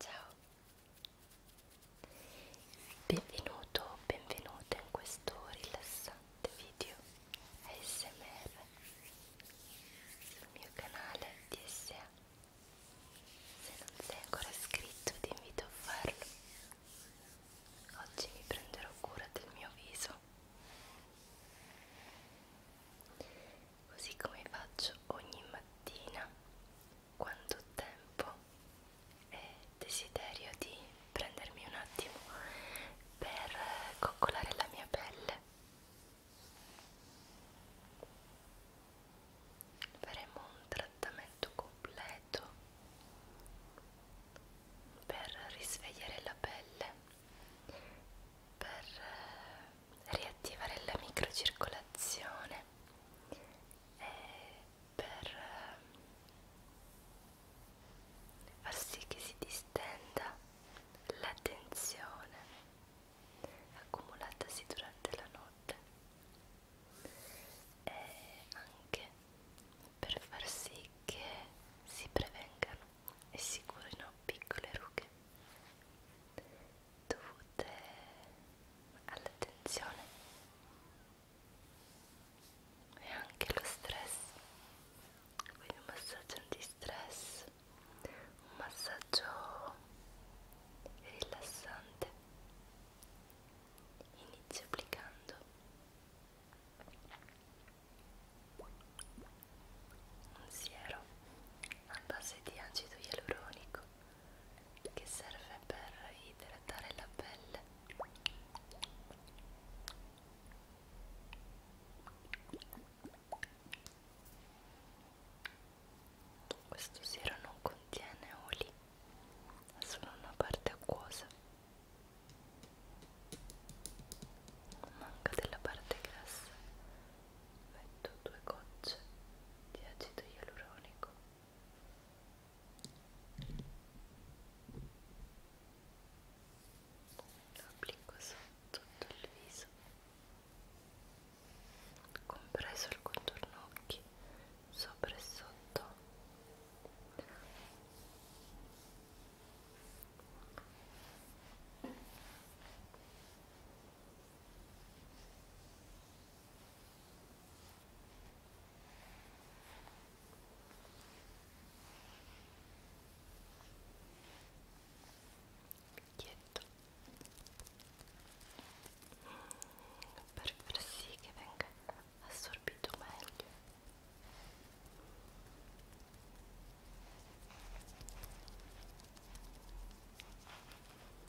Ciao, benvenuto o benvenuta in questo rilassante video ASMR sul mio canale DSA. Se non sei ancora iscritto ti invito a farlo. Oggi mi prenderò cura del mio viso così come faccio ogni mattina quando ho tempo e desiderio di prendermi un attimo per coccolare la mia pelle. Faremo un trattamento completo per risvegliare la pelle, per riattivare la microcircolazione e per ehm, far sì che si distenda la tensione accumulatasi durante la notte e anche per far sì che si prevengano e si curino piccole rughe dovute all'attenzione e anche lo stress quindi un massaggio anti-stress un massaggio rilassante inizio applicando un siero a base di acido ialuronico che serve per idratare la pelle questo siero non contiene oli è solo una parte acquosa manca della parte grassa metto due gocce di acido ialuronico lo applico su tutto il viso compreso il contorno occhi sopra e sotto Picchietto per far sì che venga assorbito meglio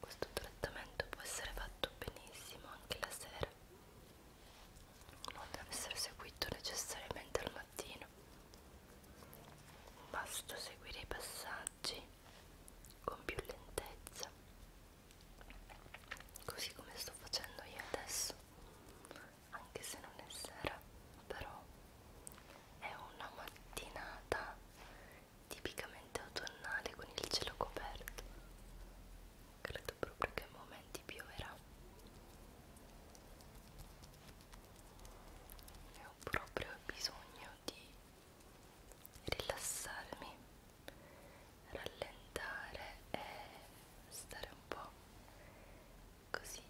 questo trattamento può essere fatto benissimo anche la sera non deve essere seguito necessariamente al mattino basta seguire i passaggi con più lentezza così come sto facendo io adesso anche se non è sera però è una mattinata tipicamente autunnale con il cielo coperto credo proprio che a momenti pioverà e ho proprio bisogno di rilassarmi rallentare e stare un po' così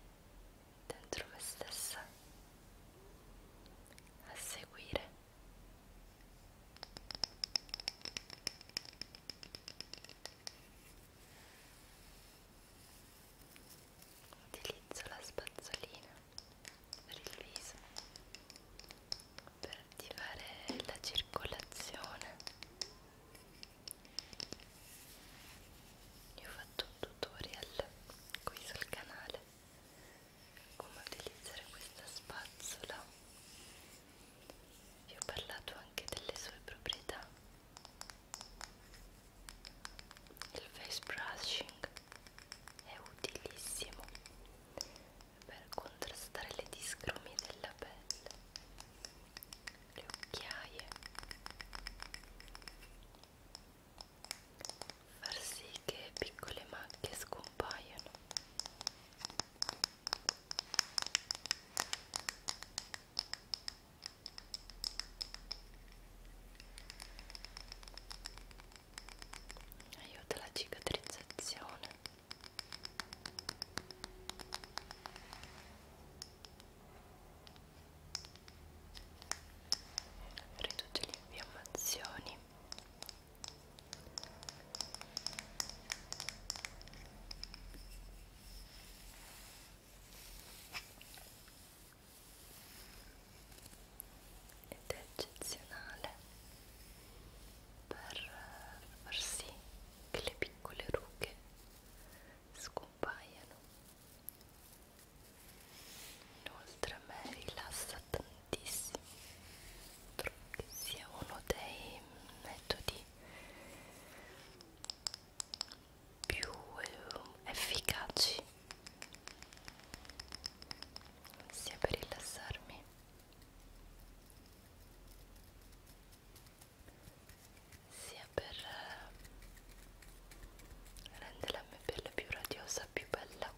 dentro me stessa a seguire Utilizzo la spazzolina per il viso per attivare la circolazione. Io ho fatto un tutorial qui sul canale come utilizzare questa spazzola vi ho parlato anche delle sue proprietà il face brushing è utilissimo per contrastare le discromie della pelle le occhiaie far sì anche piccole macchie scompaiono aiuta la cicatrizzazione riduce le infiammazioni ed è eccezionale per far sì che le piccole rughe scompaiano inoltre a me rilassa tantissimo tantissimi trovo che sia uno dei metodi più eh, efficaci sia per rilassarmi sia per eh, rendere la mia pelle più radiosa, più bella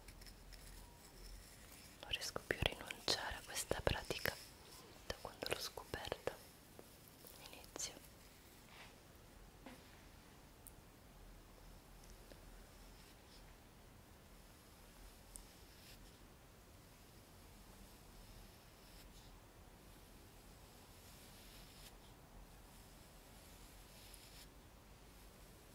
non riesco più a rinunciare a questa pratica da quando l'ho scoperta all'inizio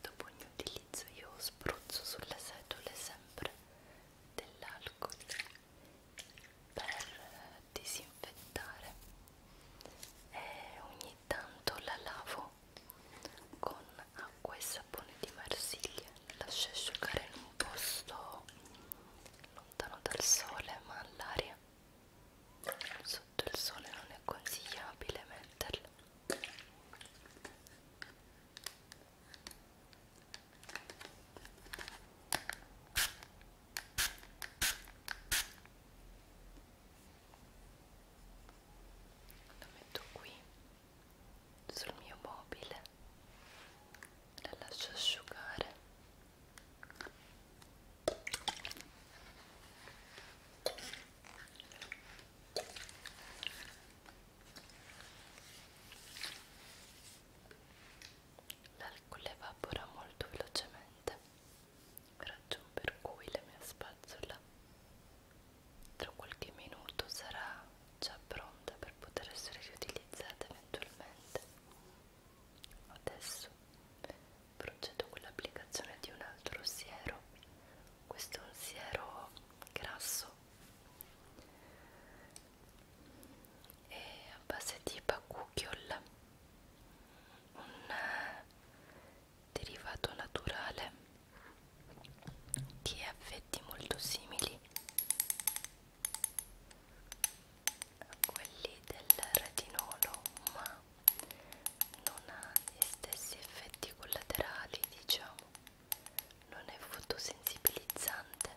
Dopo ogni utilizzo io spruzzo sulle setole sempre dell'alcol per disinfettare e ogni tanto la lavo con acqua e sapone di marsiglia lascio asciugare in un posto lontano dal sole ma all'aria sotto il sole non è consigliabile metterle la metto qui sul mio mobile la lascio asciugare l'alcol evapora molto velocemente ragion per cui la mia spazzola tra qualche minuto sarà già pronta per poter essere riutilizzata eventualmente. Adesso procedo con l'applicazione di un altro siero, questo è un siero grasso e a base di bakuchiol, un eh, derivato naturale di effetti molto simili quelli del retinolo ma non ha gli stessi effetti collaterali diciamo non è fotosensibilizzante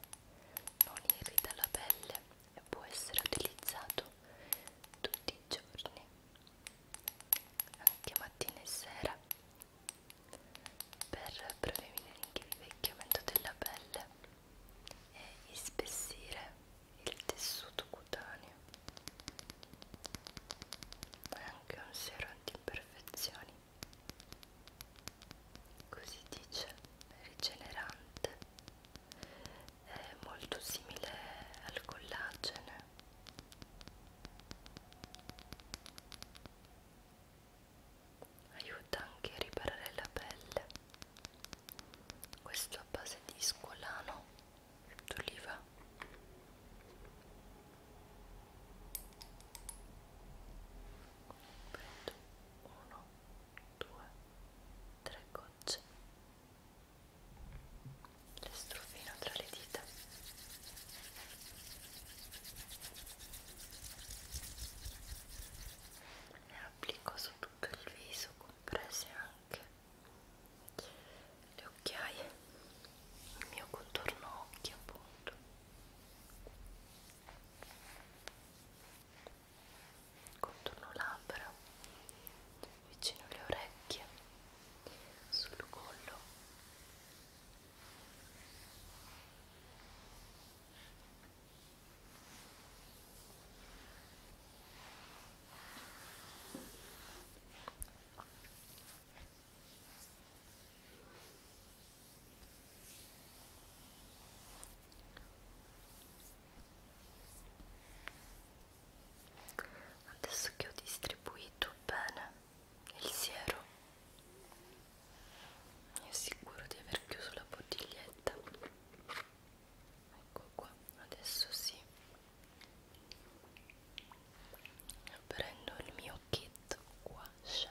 non irrita la pelle e può essere utilizzato tutti i giorni anche mattina e sera per prevenire l'invecchiamento della pelle e ispessire il tessuto cutaneo è anche un siero anti-imperfezioni così dice rigenerante è molto simile al collagene aiuta anche a riparare la pelle questo a base di scolano d'oliva prendo uno, due, tre gocce le strofino tra le dita le applico su tutto il viso comprese anche le occhiaie il mio contorno occhi appunto contorno labbra vicino alle orecchie sul collo Adesso che ho distribuito bene il siero mi assicuro di aver chiuso la bottiglietta ecco qua adesso sì prendo il mio kit wash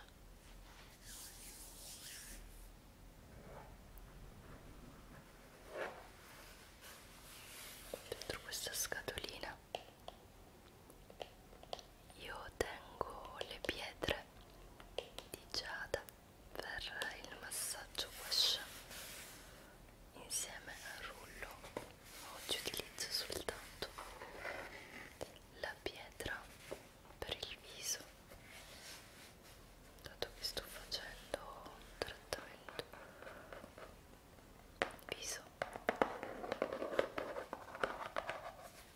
dentro questa scatolina io tengo le pietre di giada per il massaggio wash insieme al rullo oggi utilizzo soltanto la pietra per il viso dato che sto facendo un trattamento viso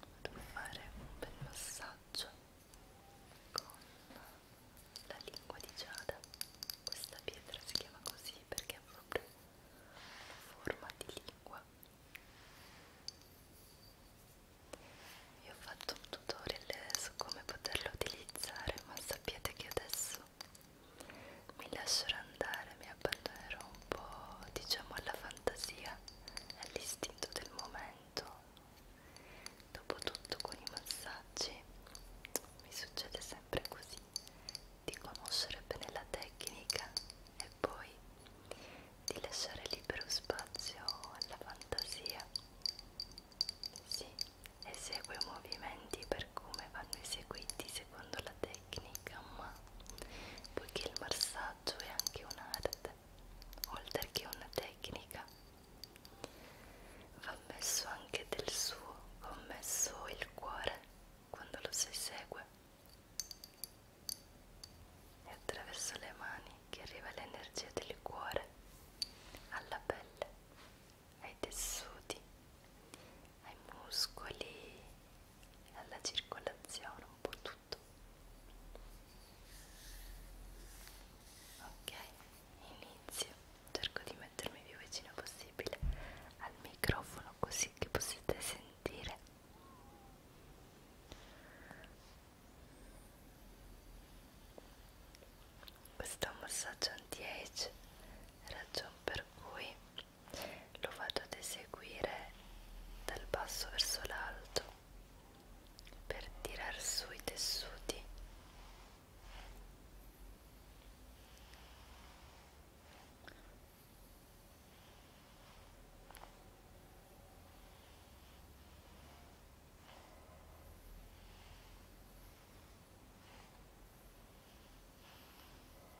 vado a fare un bel massaggio con la lingua di giada questa pietra si chiama così perché è proprio forma di lingua io ho fatto un tutorial su come poterlo utilizzare ma sappiate che adesso mi lascerò andare mi abbandonerò un po' diciamo alla fantasia, all'istinto del momento. Dopotutto con i massaggi mi succede sempre così, di conoscere bene la tecnica e poi di lasciare libero spazio alla fantasia. Sì, esegue i movimenti per come vanno eseguiti secondo la tecnica, ma poiché il massaggi messaggio è anche un'arte, oltre che una tecnica. Va messo anche del suo, va messo il cuore quando lo si segue. E attraverso le mani che arriva l'energia del cuore alla pelle, ai tessuti, ai muscoli, alla circolazione, un po' tutto fatto ok inizio cerco di mettermi più vicino possibile al microfono così che possiate sentire questo è un massaggio anti-age ragion per cui lo vado ad eseguire dal basso verso l'alto per tirar su i tessuti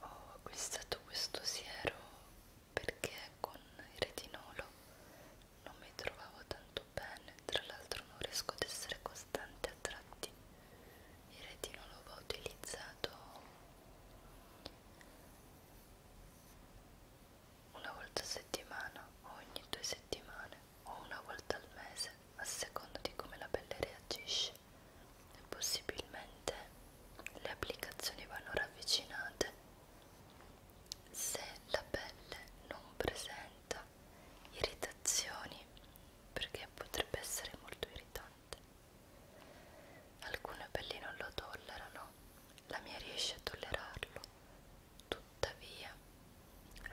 Ho acquistato questo siero perché con il retinolo non mi trovavo tanto bene, tra l'altro non riesco ad essere costante a tratti. Il retinolo va utilizzato una volta a settimana o ogni due settimane o una volta al mese a seconda di come la pelle reagisce e possibilmente le applicazioni vanno ravvicinate se la pelle non presenta irritazioni perché potrebbe essere molto irritante alcune pelli non lo tollerano la mia riesce a tollerarlo tuttavia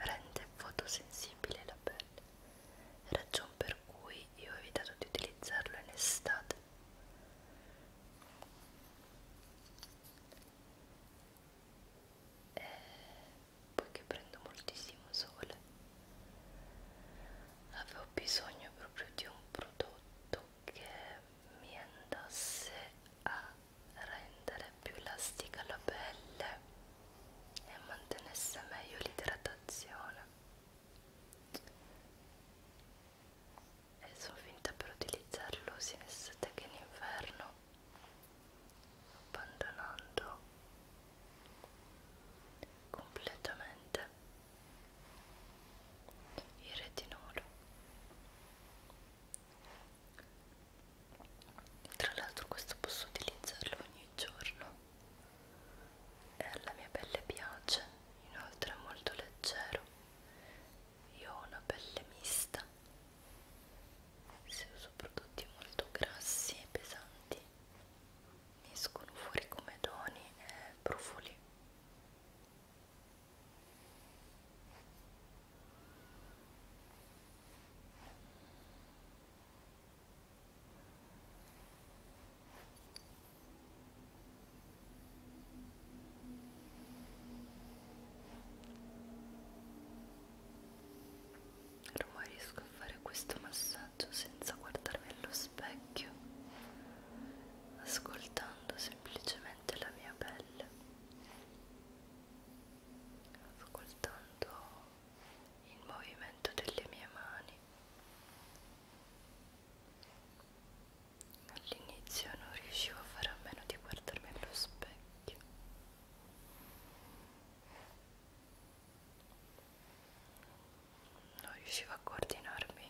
rende fotosensibile la pelle, ragion per cui io ho evitato di utilizzarlo in estate. E eh, poiché prendo moltissimo sole, avevo bisogno proprio di un prodotto che mi andasse a rendere più elastica la pelle e mantenesse meglio l'idratazione e sono finta per utilizzarlo sia in estate che in inverno abbandonando completamente il retinolo tra l'altro questo posso utilizzarlo ogni giorno e alla mia pelle piace inoltre è molto leggero io ho una pelle mista se uso prodotti molto grassi e pesanti mi escono fuori come doni e profumi Ormai riesco a fare questo massaggio senza guardarmi allo specchio, ascoltando semplicemente la mia pelle ascoltando il movimento delle mie mani. All'inizio non riuscivo a fare a meno di guardarmi allo specchio. Non riuscivo a coordinarmi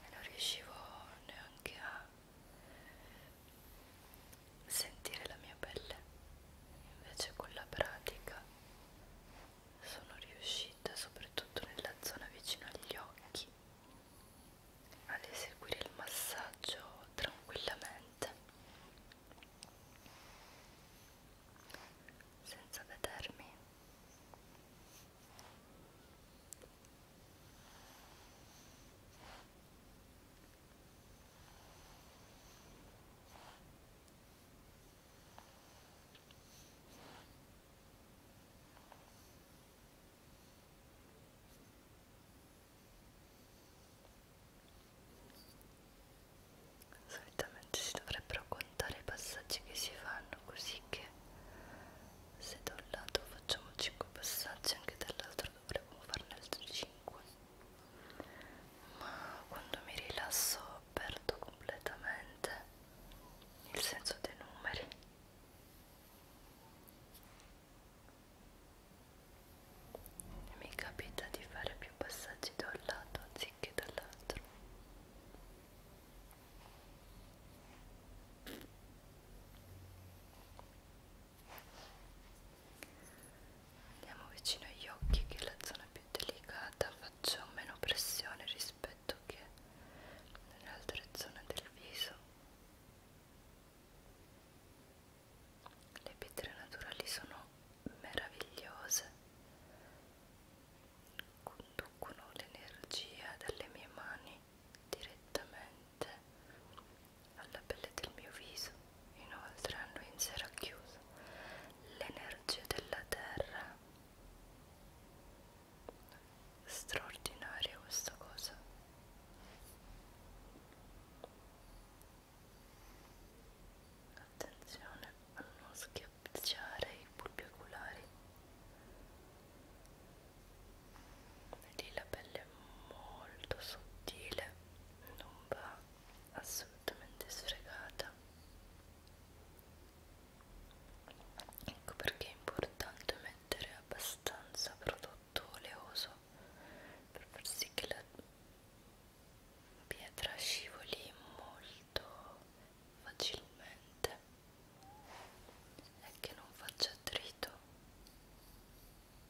e non riuscivo neanche a sentire la mia pelle invece con la pratica sono riuscita soprattutto nella zona vicino agli occhi ad eseguire il massaggio tranquillamente senza vedermi Solitamente si dovrebbero contare i passaggi che si fanno così che se da un lato facciamo 5 passaggi anche dall'altro dovremmo farne altri 5 ma quando mi rilasso perdo completamente il senso dei numeri e mi capita di fare più passaggi da un lato anziché dall'altro Andiamo vicino agli occhi che è la zona più delicata, faccio meno pressione rispetto che nelle altre zone del viso. Le pietre naturali sono meravigliose, conducono l'energia dalle mie mani direttamente alla pelle del mio viso, inoltre hanno in sé racchiuso l'energia della terra. Straordinaria questa cosa. Attenzione a non schiacciare i bulbi oculari. Lì la pelle è molto sottile non va assolutamente sfregata ecco perché è importante mettere abbastanza prodotto oleoso per far sì che la pietra scivoli molto facilmente e che non faccia attrito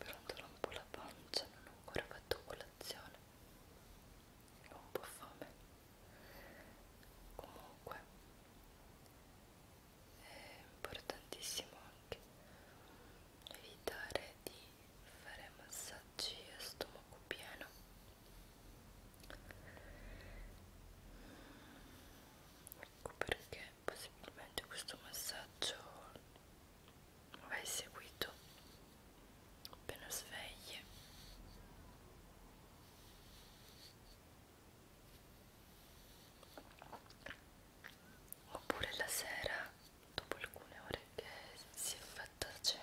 però ancora un po' la pancia, non ho ancora fatto colazione ho un po' fame comunque è importantissimo anche evitare di fare massaggi a stomaco pieno ecco perché possibilmente questo massaggio va eseguito appena sveglie oppure la sera dopo alcune ore che si è fatta cena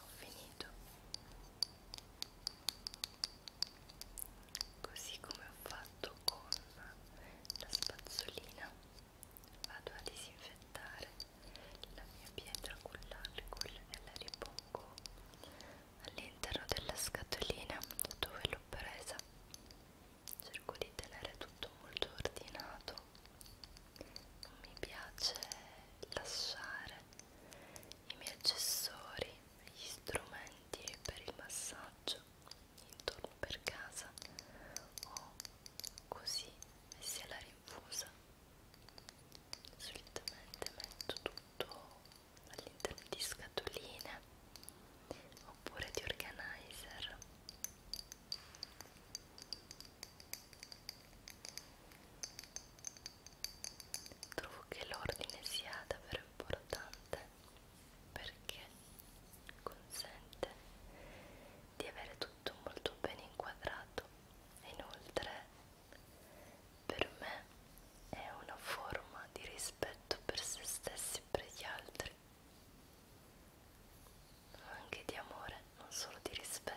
Ho finito così come ho fatto con la spazzolina vado a disinfettare la mia pietra con l'alcol e la ripongo all'interno della scatolina dove l'ho presa cerco di tenere tutto molto ordinato non mi piace lasciare i miei accessori gli strumenti per il massaggio intorno per casa o così messi alla rinfusa solitamente metto tutto all'interno di scatoline oppure di organizer trovo che l'ordine sia davvero importante perché consente di avere tutto molto ben inquadrato e inoltre per me è una forma di rispetto per se stessi e per gli altri ma anche di amore, non solo di rispetto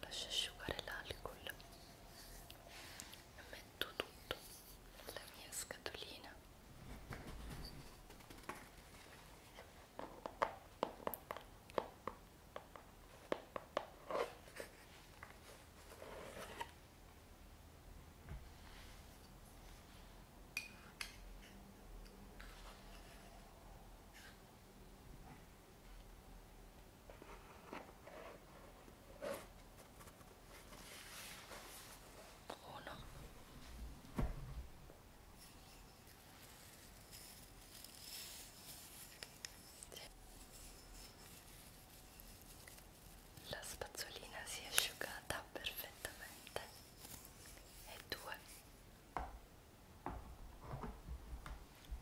lascio asciugare l'alcol e metto tutto nella mia scatolina uno la spazzolina si è asciugata perfettamente e due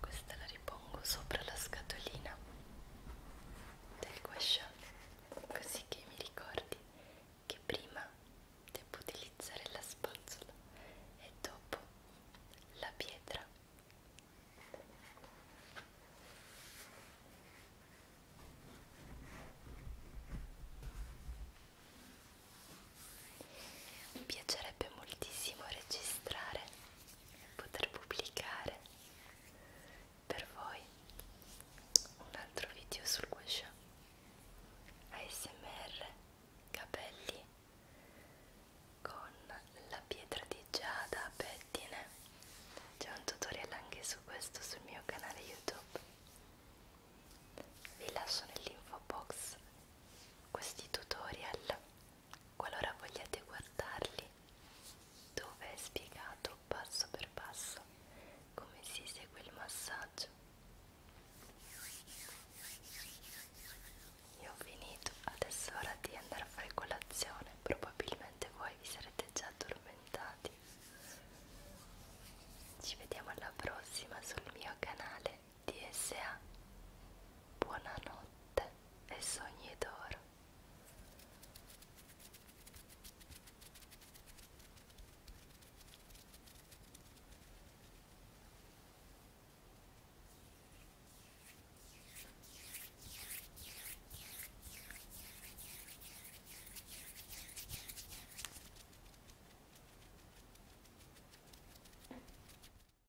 questa la ripongo sopra la scatolina del guasciò, così che mi ricordi che prima devo utilizzare la spazzola e dopo la pietra. Mi piacerebbe moltissimo registrare poter pubblicare per voi un altro video sul guscio ASMR capelli con la pietra di giada a pettine c'è un tutorial anche su questo sul mio canale youtube vi lascio nell'info box questi tutorial qualora vogliate guardarli dove è spiegato passo per passo come si segue il massaggio io ho finito adesso è ora di andare a fare colazione probabilmente voi vi sarete già addormentati ci vediamo alla prossima sul mio canale DSA Buonanotte e sogni d'oro